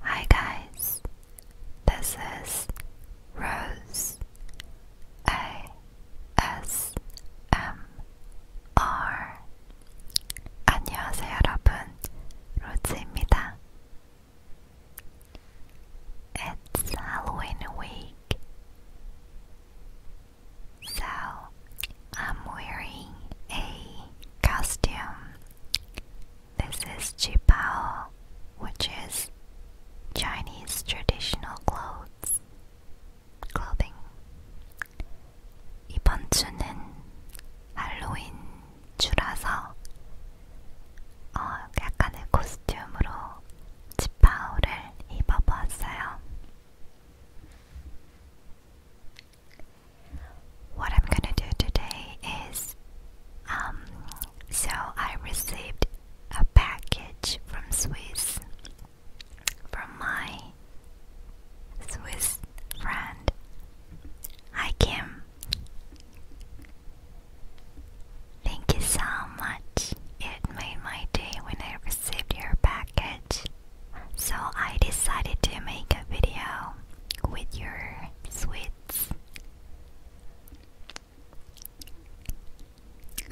Hi guys, this is Rose ASMR. 안녕하세요 여러분, 로즈입니다. It's Halloween week, so I'm wearing a costume this is Jipao, which is Chinese traditional clothes. Clothing. 이번 주는 할로윈 주라서 어, 약간의 코스튬으로 지파오를 입어보았어요. What I'm gonna do today is um, so I received a package from Swiss from my Swiss friend. Hi Kim. Thank you so much. It made my day when I received your package. So I decided to make a video with your sweets.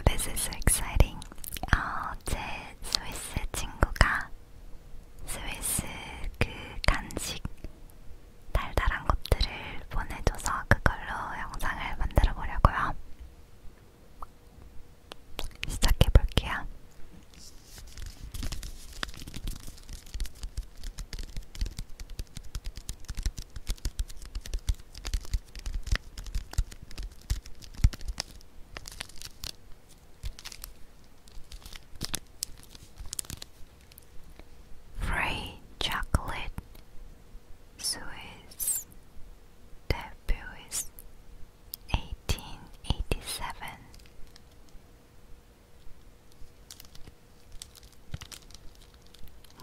This is so exciting. 어, 제 스위스 친구가 스위스 그 간식 달달한 것들을 보내줘서 그걸로 영상을 만들어 보려고요. 시작해 볼게요. Free chocolate, Swiss debut is eighteen eighty seven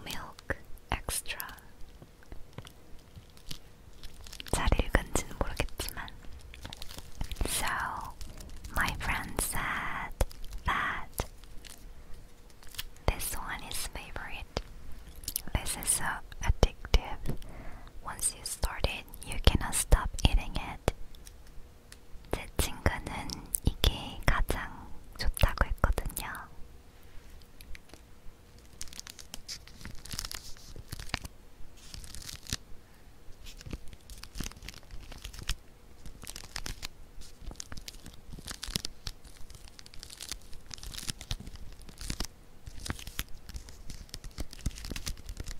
milk extra. 잘 읽은지는 모르겠지만. So, my friend said that this one is favorite. This is so addictive. Once you start it, you cannot stop eating it. 제 친구는 이게 가장 좋다고 했거든요.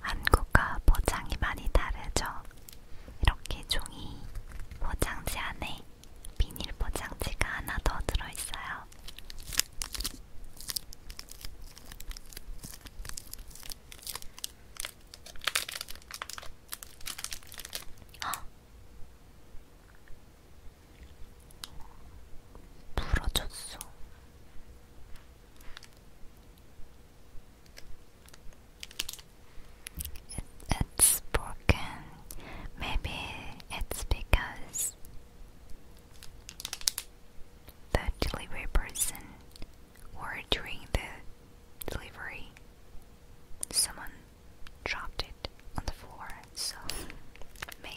한국과 포장이 많이 다르죠. 이렇게 종이 포장지 안에 비닐 포장지가 하나 더 들어있어요. it's broken. Maybe it's because the delivery person or during the delivery someone dropped it on the floor, so maybe.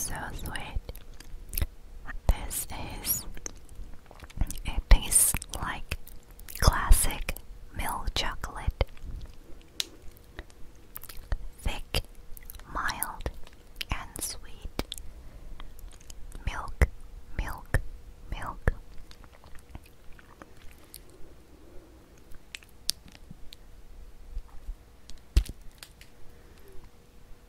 So sweet. This is it tastes like classic milk chocolate. Thick, mild, and sweet. Milk, milk, milk.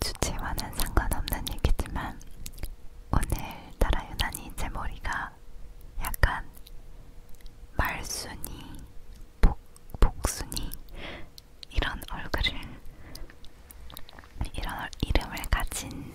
주제와는 상관없는 얘기지만 오늘따라 유난히 제 머리가 약간 말순이, 복, 복순이 이런 얼굴을 이런 이름을 가진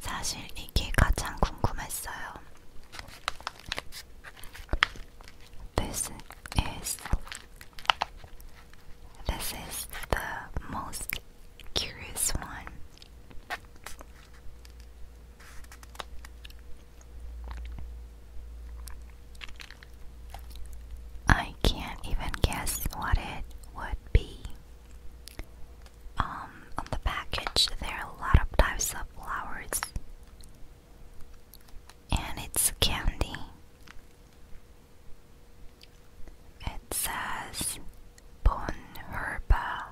사실 이게 가장 궁금했어요. This is this is the most curious one. I can't even guess what it would be. Um, on the package, there are a lot of types of flowers, and it's candy. It says Bonherba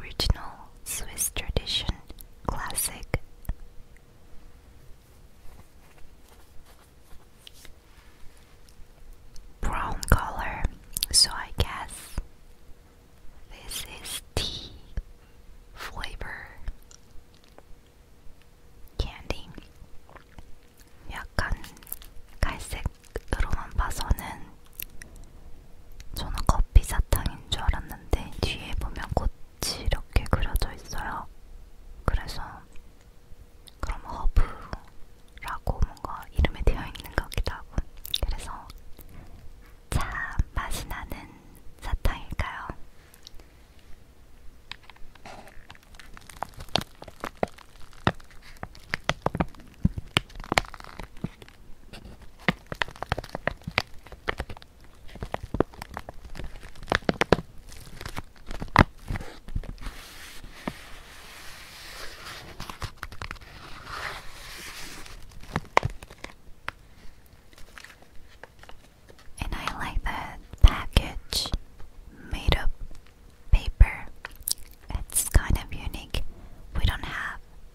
Original Swiss Tradition Classic. Brown color, so I guess this is tea flavor candy. 약간 갈색으로만 봐서는 저는 커피 사탕인 줄 알았는데 뒤에 보면 꽃이 이렇게 그려져 있어요. 그래서 그럼 허브라고 뭔가 이름에 되어 있는 것 같기도 하고 그래서 참 맛이 나는 사탕일까요? And I like that package made of paper. It's kind of unique. We don't have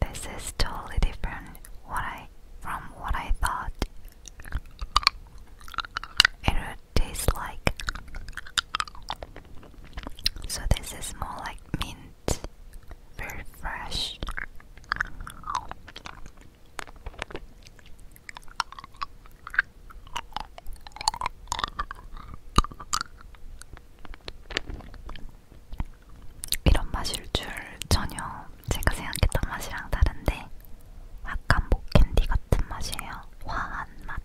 This is totally different from what I thought. It would taste like So this is more like mint, very fresh. 이런 맛일 줄 전혀 제가 생각했던 맛이랑 다른데 약간 목캔디 같은 맛이에요. 화한 맛.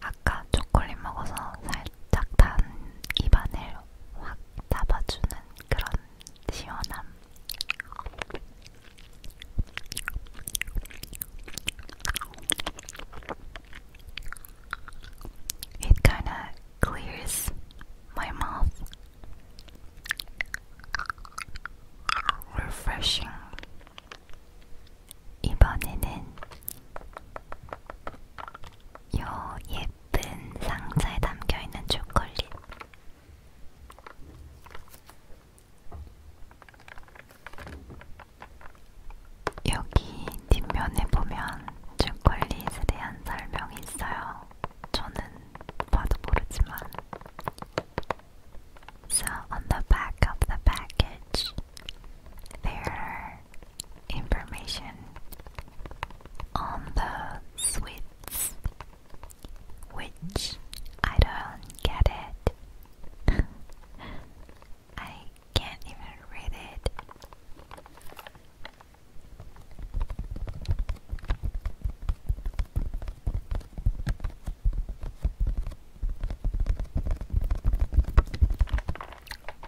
아까 초콜릿 먹어서 살짝 단 입안을 확 잡아주는 그런 시원함. It kinda clears my mouth refreshing. 이번에는 요 예쁜 상자에 담겨 있는 초콜릿. 여기 뒷면에 보면 초콜릿에 대한 설명이 있어요. So on the back of the package there are information on the sweets which I don't get it. I can't even read it.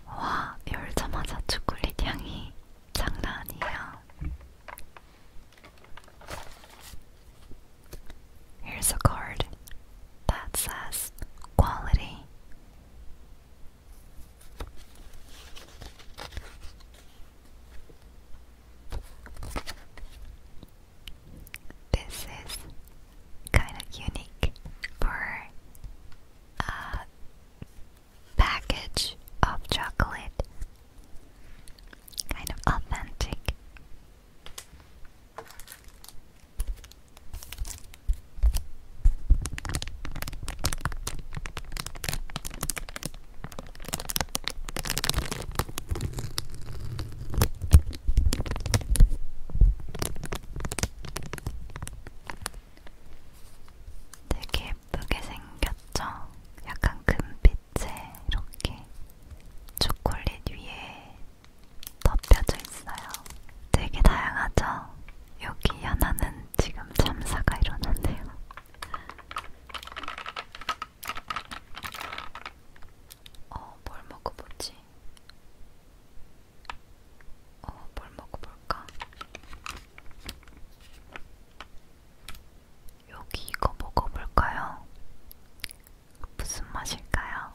와, 열자마자 초콜릿 향이 장난 아니에요. Here's a card that says quality. This is kind of unique for a package of chocolate. Kind of authentic. 되게 예쁘게 생겼죠? 약간 금빛에 이렇게 초콜릿 위에 덮여져 있어요. 되게 다양하죠? 여기 하나는 지금 참사가 일어났네요. 어, 뭘 먹어보지? 어, 뭘 먹어볼까? 여기 이거 먹어볼까요? 무슨 맛일까요?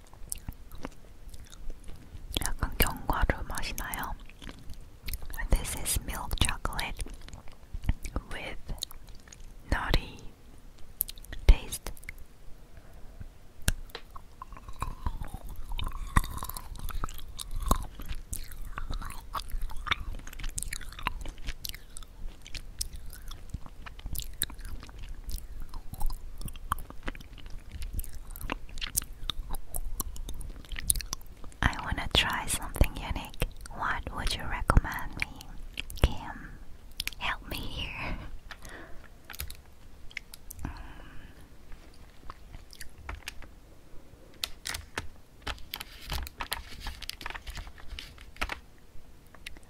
약간 견과류 맛이 나요. This is milk chocolate with nutty taste. I wanna try something unique. What would you recommend me? Kim, help me here.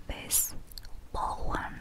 this ball one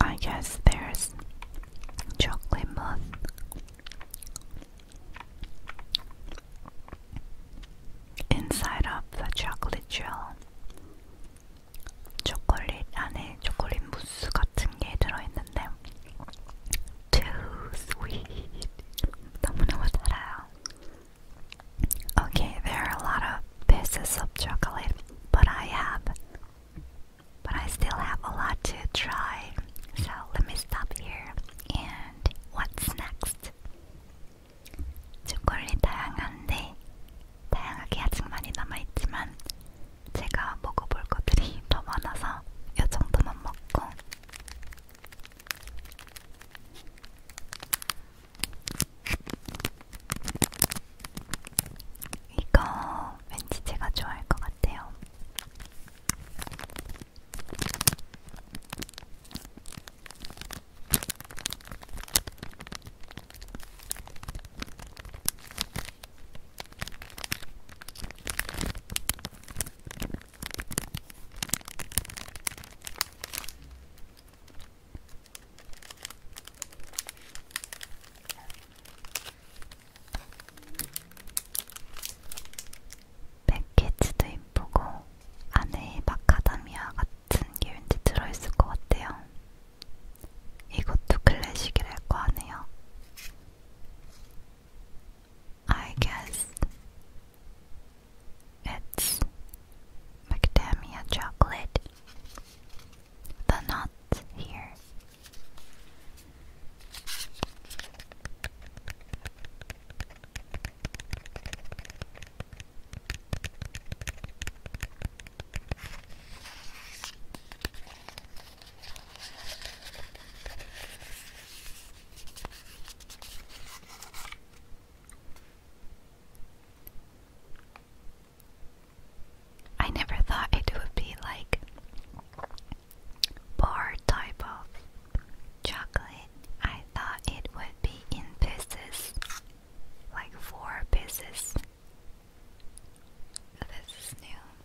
I guess there's chocolate moth. Inside of the chocolate gel. 초콜릿 안에 초콜릿 무스 들어있는데 too sweet. Okay, there are a lot of pieces of chocolate, but I have, but I still have a lot to try. So let me stop here. And what's next? 초콜릿이 다양한데 다양하게 아직 많이 남아있지만 제가 먹어볼 것들이 더 많아서 이 정도만 먹고 이거 왠지 제가 좋아할 것 같아요. 패키지도 이쁘고 안에 마카다미아 같은 게왠지 들어있을 것 같아요. 이것도 클래식이랄 거 하네요. I guess it's macadamia chocolate. The nut here. I never thought it would be like bar type of chocolate. I thought it would be in pieces, like four pieces. This is new.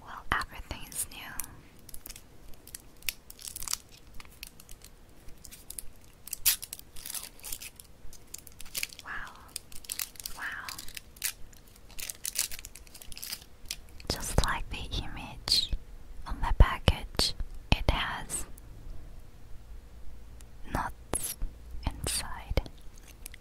Well, everything's new. Wow. Wow. Just like the image on the package, it has knots inside.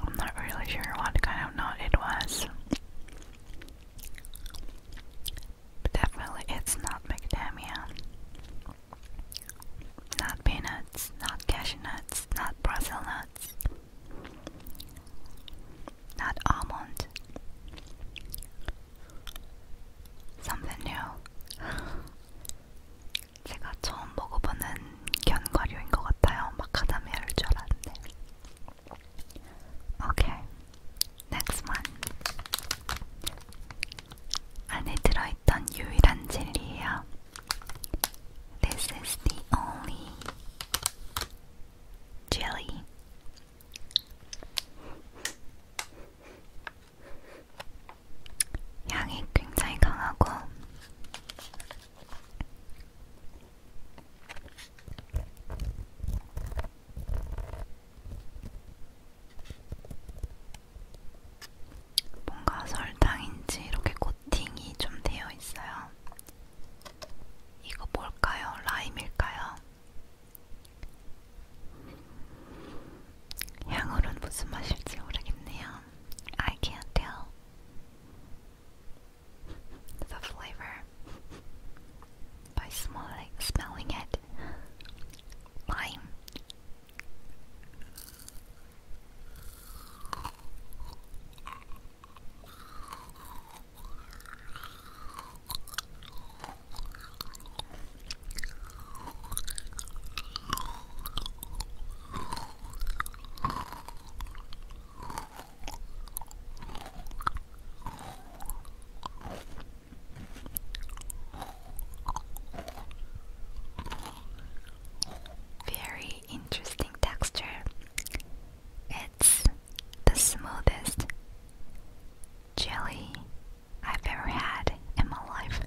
I'm not really sure what kind of nut it was. But definitely it's not macadamia. Not peanuts, not cashew not Brazil nuts, not almond. Something new. 제가 처음 먹어보는 견과류인 것 같아요. 마카다미아일 줄 알았는데. Okay, next one. 안에 들어있던 유일한 젤리예요. This is the only jelly. 향이 굉장히 강하고 뭔가 설탕인지 이렇게 코팅이 좀 되어 있어요. 이거 뭘까요? 라임일까요? 향으로는 무슨 맛일지 모르겠네요. I can't tell the flavor by smelling, smelling it. Lime. Very interesting texture. It's the smoothest jelly I've ever had in my life.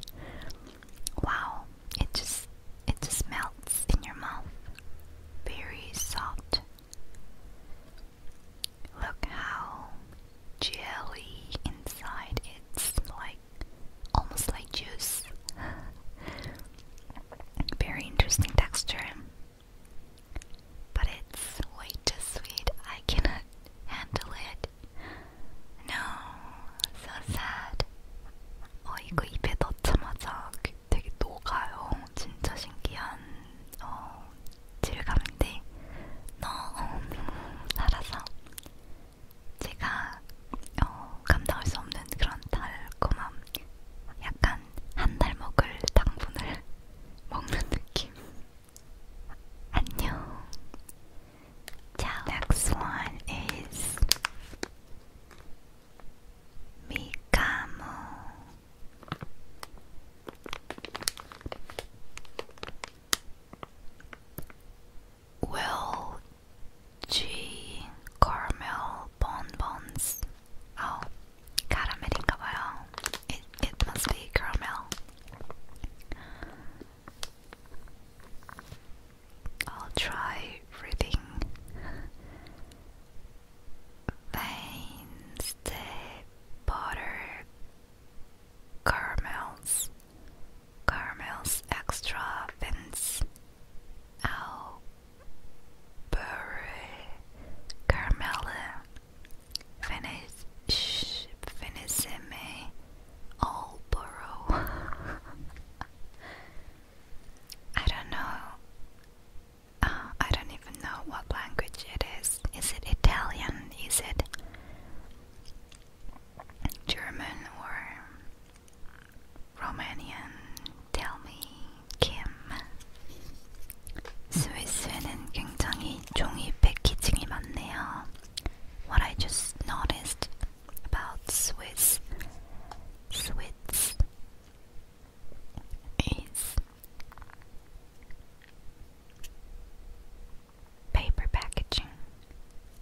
Wow, it just it just melts in your mouth. Very soft. Look how jelly inside it's like almost like juice. Very interesting texture. But it's way too sweet. I cannot handle it. No, so sad. 어 이거 입에 넣자마자 그 되게 녹아요. 진짜 신기한 어, 질감인데 너무 달아서 제가 어, 감당할 수 없는 그런 달콤함, 약간 한 달 먹을 당분을 먹는 느낌. 안녕. Ciao. Next one is Mikamo. Will G caramel bonbons. Oh, caramelingabayo. It it must be caramel. I'll try reading Wednesday butter caramels, caramels extra fins, Albury caramel, finish, finissime Alborough. I don't know. Uh, I don't even know what language it is. Is it Italian? Is it German or Romanian? Tell me, Kim. 스위스에는 굉장히 종이 패키징이 많네요. What I just noticed about Swiss Swiss is paper packaging.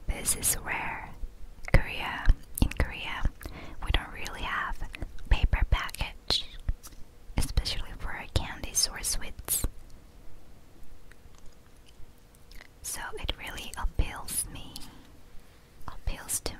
This is rare. Korea in Korea we don't really have paper package especially for candies or sweets. So it really appeals me. Appeals to me.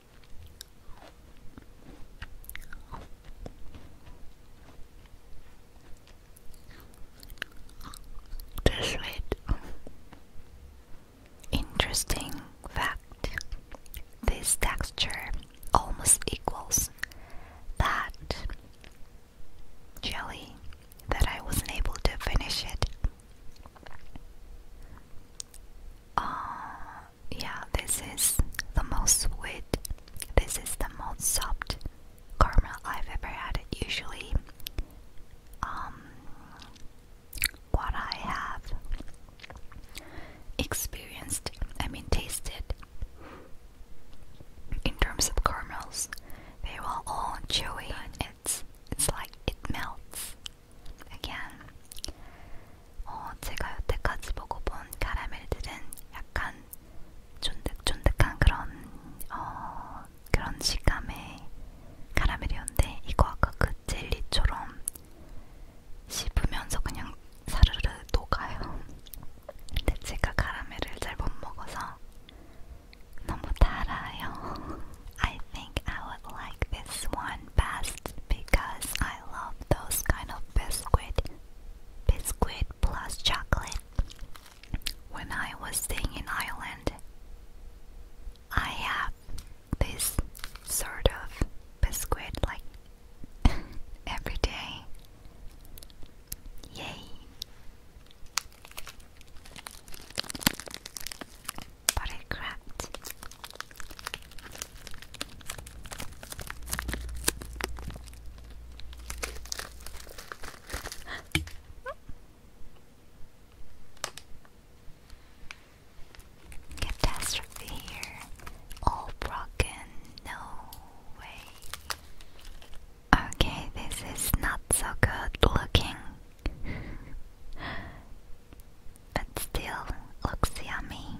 Just Interesting fact. This texture almost equals that jelly that I wasn't able to finish it. Uh, yeah, this is the most sweet, this is the most soft caramel I've ever had. Usually, um, what I have experienced, I mean, tasted in terms of caramels, they were all chewy. It's it's like it melts again. 어, 제가 여태까지 먹어본 카라멜들은 약간 쫀득쫀득한 그런 어, 그런 식감의 카라멜이었는데 이거 아까 그 젤리처럼 씹으면서 그냥 사르르 녹아요. 근데 제가 카라멜을 잘 못 먹어서 너무 달아요. I think I would like this one best because I love those kind of biscuit, biscuit plus chocolate. When I was staying in Ireland, I have this sort of biscuit like every day. Yay! But it cracked. Catastrophe here. All broken. No way. Okay, this is not so good looking. but still looks yummy.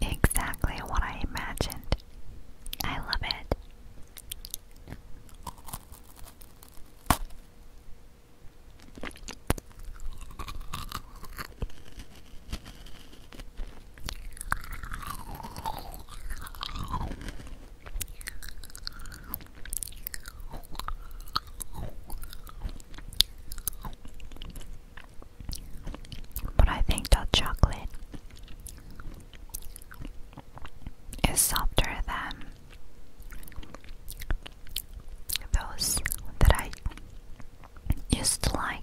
Exactly what I imagined. I love it. But I think that chocolate is softer than those that I used to like.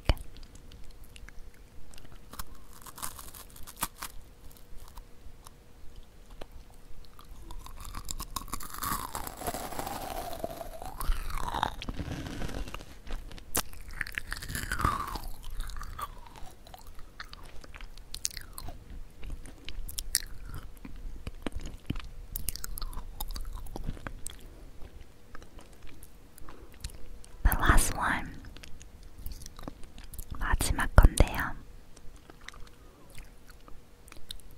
The last one. 마지막 건데요.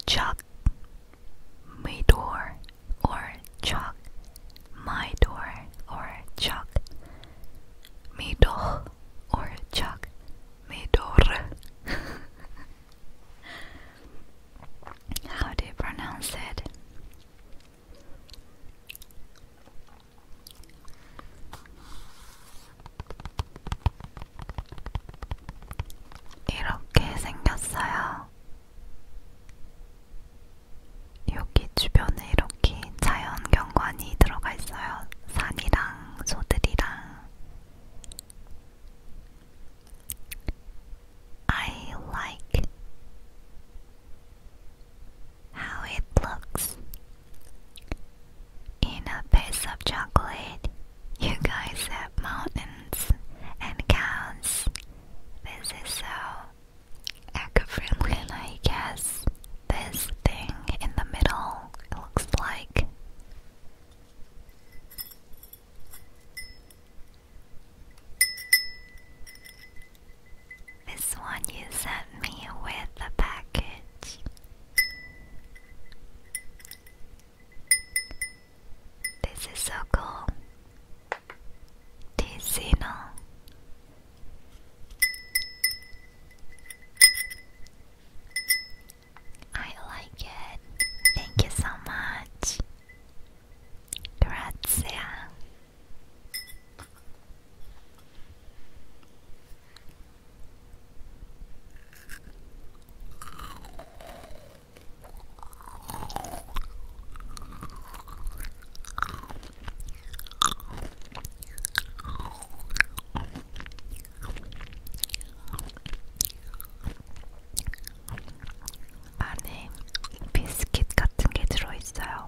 Chuck my door or chuck my door or chuck me door or chuck me door How do you pronounce it? 이렇게 생겼어요. 여기 주변에 이렇게 자연 경관이 들어가 있어요. 산이랑 소들이랑. I like how it looks. In a piece of chocolate, you guys have mountains and cows. This is so eco-friendly, I guess this thing in the middle looks like. This one you sent me with the package. This is so cool. Ticino. I like it. Thank you so much. Grazie. 안에 비스킷 같은 게 들어있어요.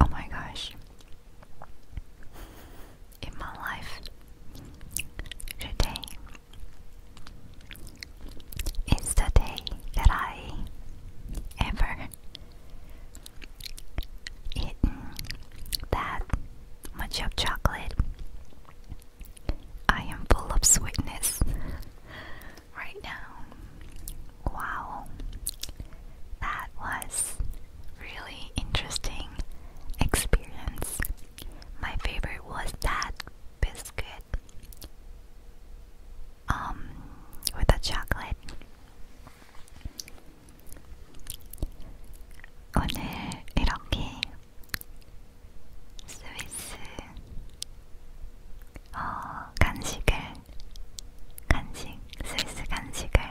Oh my gosh. In my life today is the day that I ever eaten that much of chocolate. I am full of sweetness right now. Wow. That was really interesting experience. My favorite was that biscuit um with the chocolate. 오늘 이렇게 스위스 간식을 간식 스위스 간식을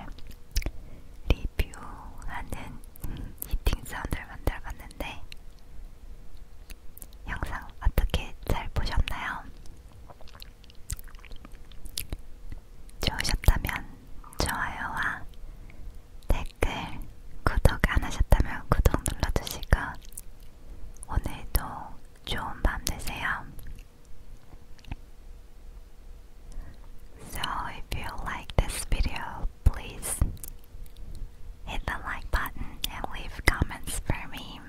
리뷰하는 히팅 사운드를 만들어봤는데 영상 어떻게 잘 보셨나요? 좋으셨다면 좋아요와 댓글, 구독 안 하셨다면 구독 눌러주시고 오늘도 좋은 밤 되세요. So if you like this video, please hit the like button and leave comments for me.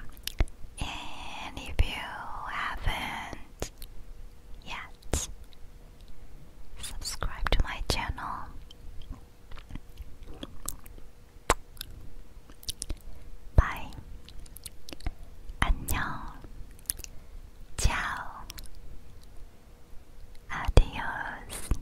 And if you haven't yet subscribe to my channel, bye. 안녕. Ciao. Adios.